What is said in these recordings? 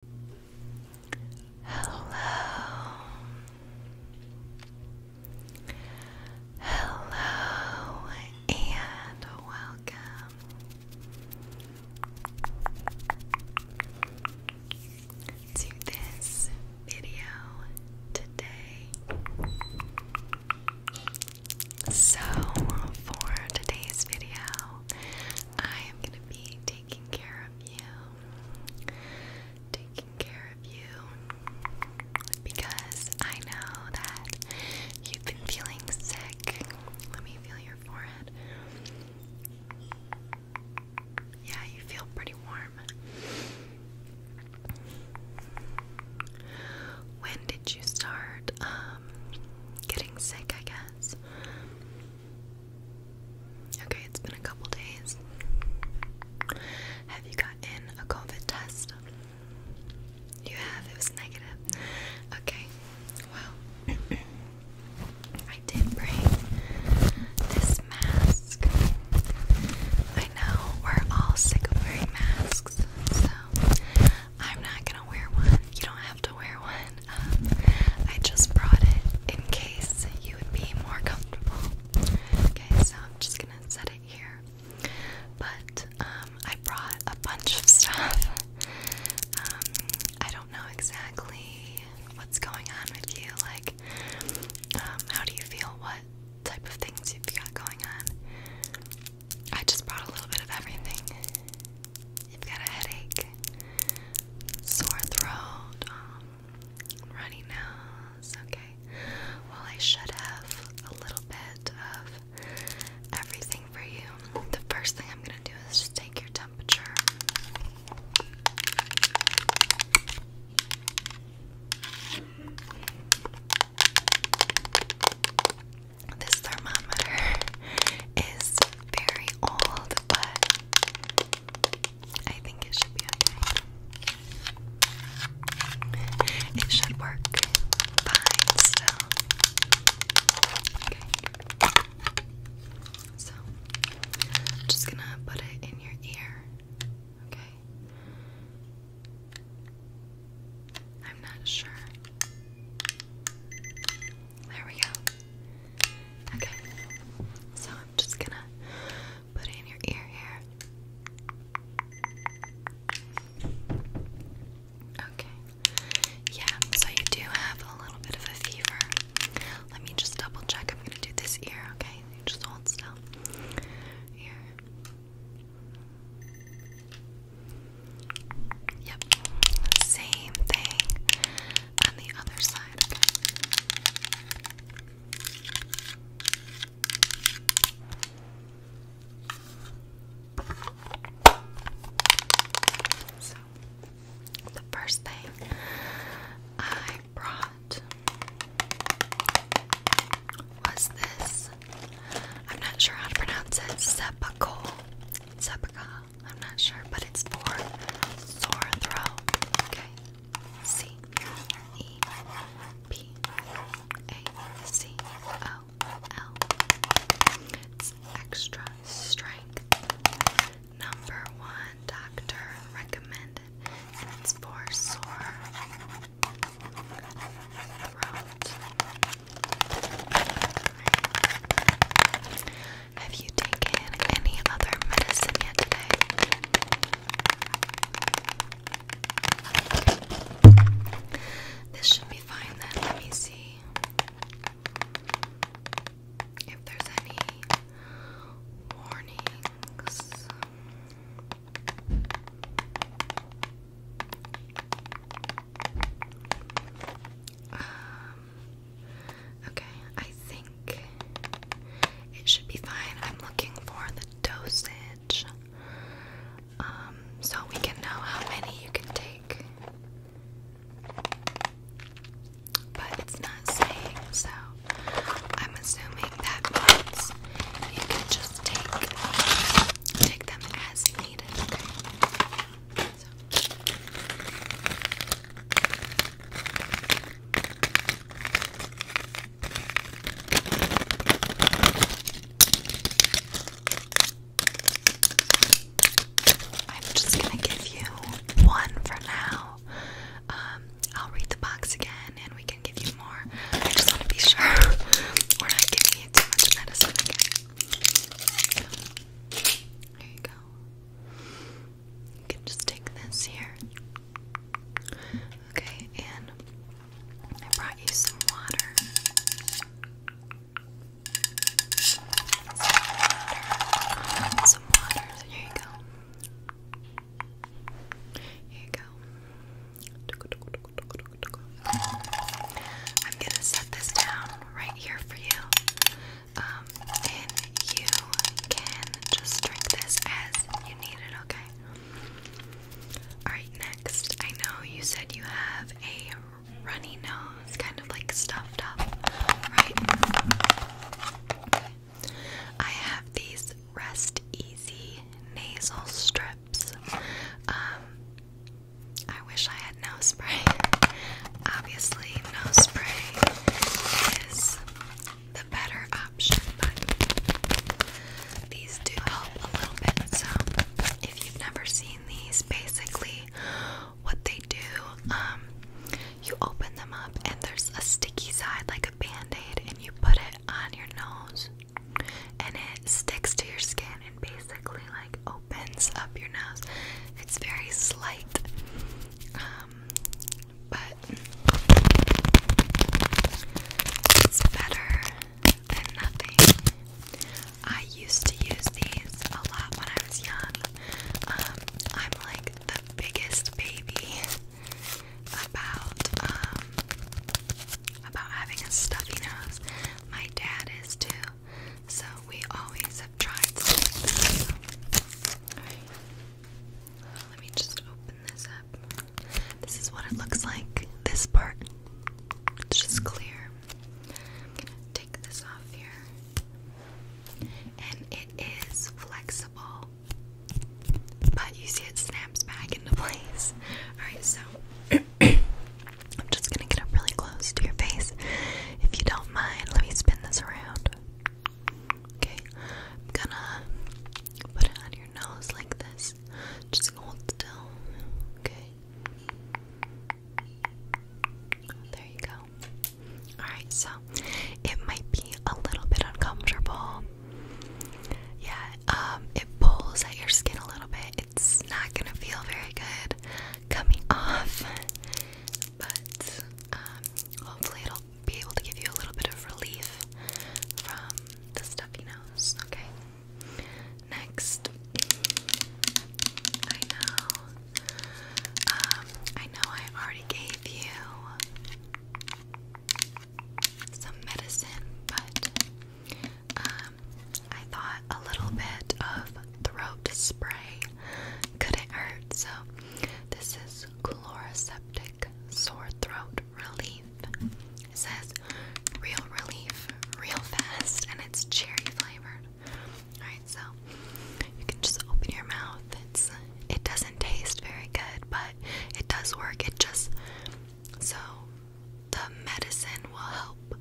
Hello. Hello and welcome. To this video today. So, for today's video, I am going to be taking care of you. Taking care of you. Because I know that you've been feeling sick. Let me feel your forehead. Yeah, you feel pretty warm. When did you start um, getting sick, I guess? Okay, it's been a couple days. Have you gotten a COVID test? You have, it was negative. Okay, well, I did bring this mask. I know we're all sick of wearing masks, so I'm not gonna wear one. You don't have to wear one. I just brought it in case you would be more comfortable. Okay, so I'm just gonna set it here. But um, I brought a bunch of stuff. Um, I don't know exactly what's going on with you. Like, um, how do you feel? What type of things you've got going on? I just brought a little bit of everything you've got a headache, sore throat, um, runny nose, okay. Well, I should have a little bit of everything for you. The first thing I'm gonna do is just take your temperature. This thermometer is very old, but I think it should be okay. It should work Okay. So, just gonna put it in your ear. Okay. I'm not sure. There we go. Okay, so I'm just gonna put it in your ear here. Okay. Yeah, so you do have a little bit of a fever. Let me just double check. I'm gonna do this ear, okay? just hold still. Here. Yep. Same thing on the other side, So, the first thing I brought was this. I'm not sure how to pronounce it. Sepulchre. Sepulchre. I'm not sure, but it's for sore throat. Okay. C E P A C O L. extra strength. Number one doctor recommended, it's for sore throat. Have you taken any other medicine yet today? This should be fine then. Let me see if there's any warnings. Um, Okay, I think it should be fine. I'm looking for the dosage um, so we can know how many you can take. But it's not saying, so I'm assuming that means you can just take take them as needed. I'm just gonna give you one for now. Um, I'll read the box again and we can give you more. I just want to be sure we're not giving you too much medicine again. There you go just take this here. Okay, and I brought you some water. Some water. Some water. Here you go. Here you go. I'm gonna set this down right here for you. Um, and you can just drink this as you need it, okay? Alright, next. I know you said you have a runny nose, kind of like stuffed up, right? I have these Rest Easy nasal strips. Um, I wish I had nose spray. Obviously, no spray is the better option, but these do help a little bit. So, if you've never seen these, basically what they do, um, you open them up and there's a sticky side like a band aid, and you put it on your nose and it sticks to your skin and basically like opens up your nose. It's very slight. Um, but it's better than nothing. I used to use these a lot when I was young. Um, I'm like the biggest baby about um, about having a stuffy nose. My dad is too, so we always have tried something like let me just open this up. This is what it looks like. This part. It's just clear. I'm gonna take this off here. And it is flexible. But you see it snaps back into place. Alright, so I'm just gonna get up really close to your face. If you don't mind, let me spin this around. Okay, I'm gonna put it on your nose like this. Just hold still. Okay. There you go. Alright, so it might be a little bit uncomfortable. Yeah, um, it pulls at your skin a little bit. It's not gonna feel very good coming off. But um, hopefully it'll be able to give you a little bit of relief from the stuffy nose, okay? Next, I know, um, I know I already gave you some medicine, but um, I thought a little bit of throat spray couldn't hurt, so this is Chloraseptic sore throat relief. It says real relief, real fast, and it's cherry flavored. Alright, so you can just open your mouth. It's it doesn't taste very good, but it does work. It just so the medicine will help,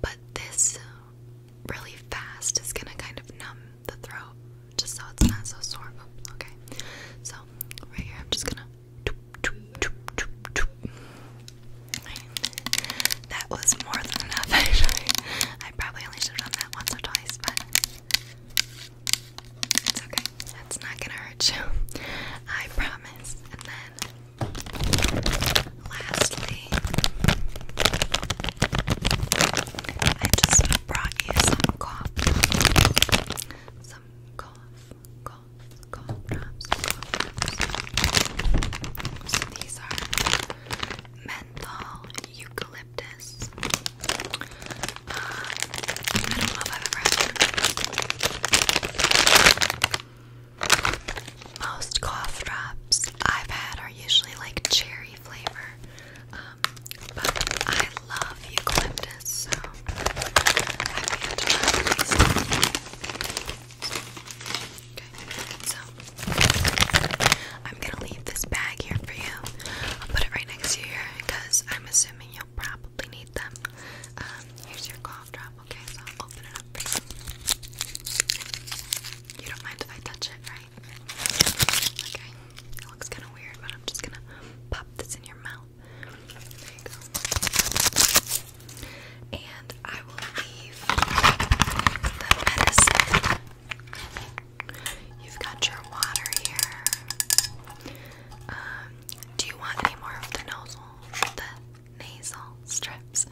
but this uh, really fast is gonna kind of numb the throat just so it's not so sore. Oh, okay, so right here, I'm just gonna. That was more than enough, actually. I probably only should have done that once or twice, but it's okay. That's not gonna hurt you. I promise. And then, lastly, I just brought you some cough, some cough, cough, cough drops, these are menthol, eucalyptus. Uh, I don't know if I've ever Most cough drops I've had are usually like cherry flavor but I love eucalyptus, so so I'm gonna leave this bag here for you. I'll put it right next to you because I'm assuming you'll probably need them. Um, here's your cough drop, okay? So I'll open it up for you. You don't mind if I touch it, right? Okay, it looks kind of weird, but I'm just gonna pop this in your mouth. There you go. And I will leave the medicine. You've got your water here. Um, do you want any more of the nozzle? The nasal strips?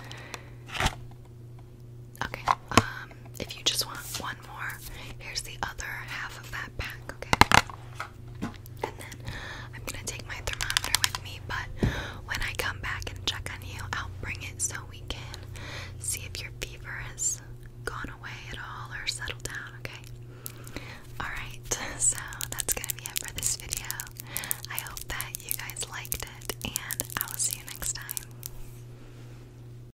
Okay, um, if you just want one more, here's the other half of that pack, okay? And then I'm gonna take my thermometer with me, but when I come back and check on you, I'll bring it so we can see if your fever has gone away at all or settled down, okay? Alright, so that's gonna be it for this video. I hope that you guys liked it, and I will see you next time.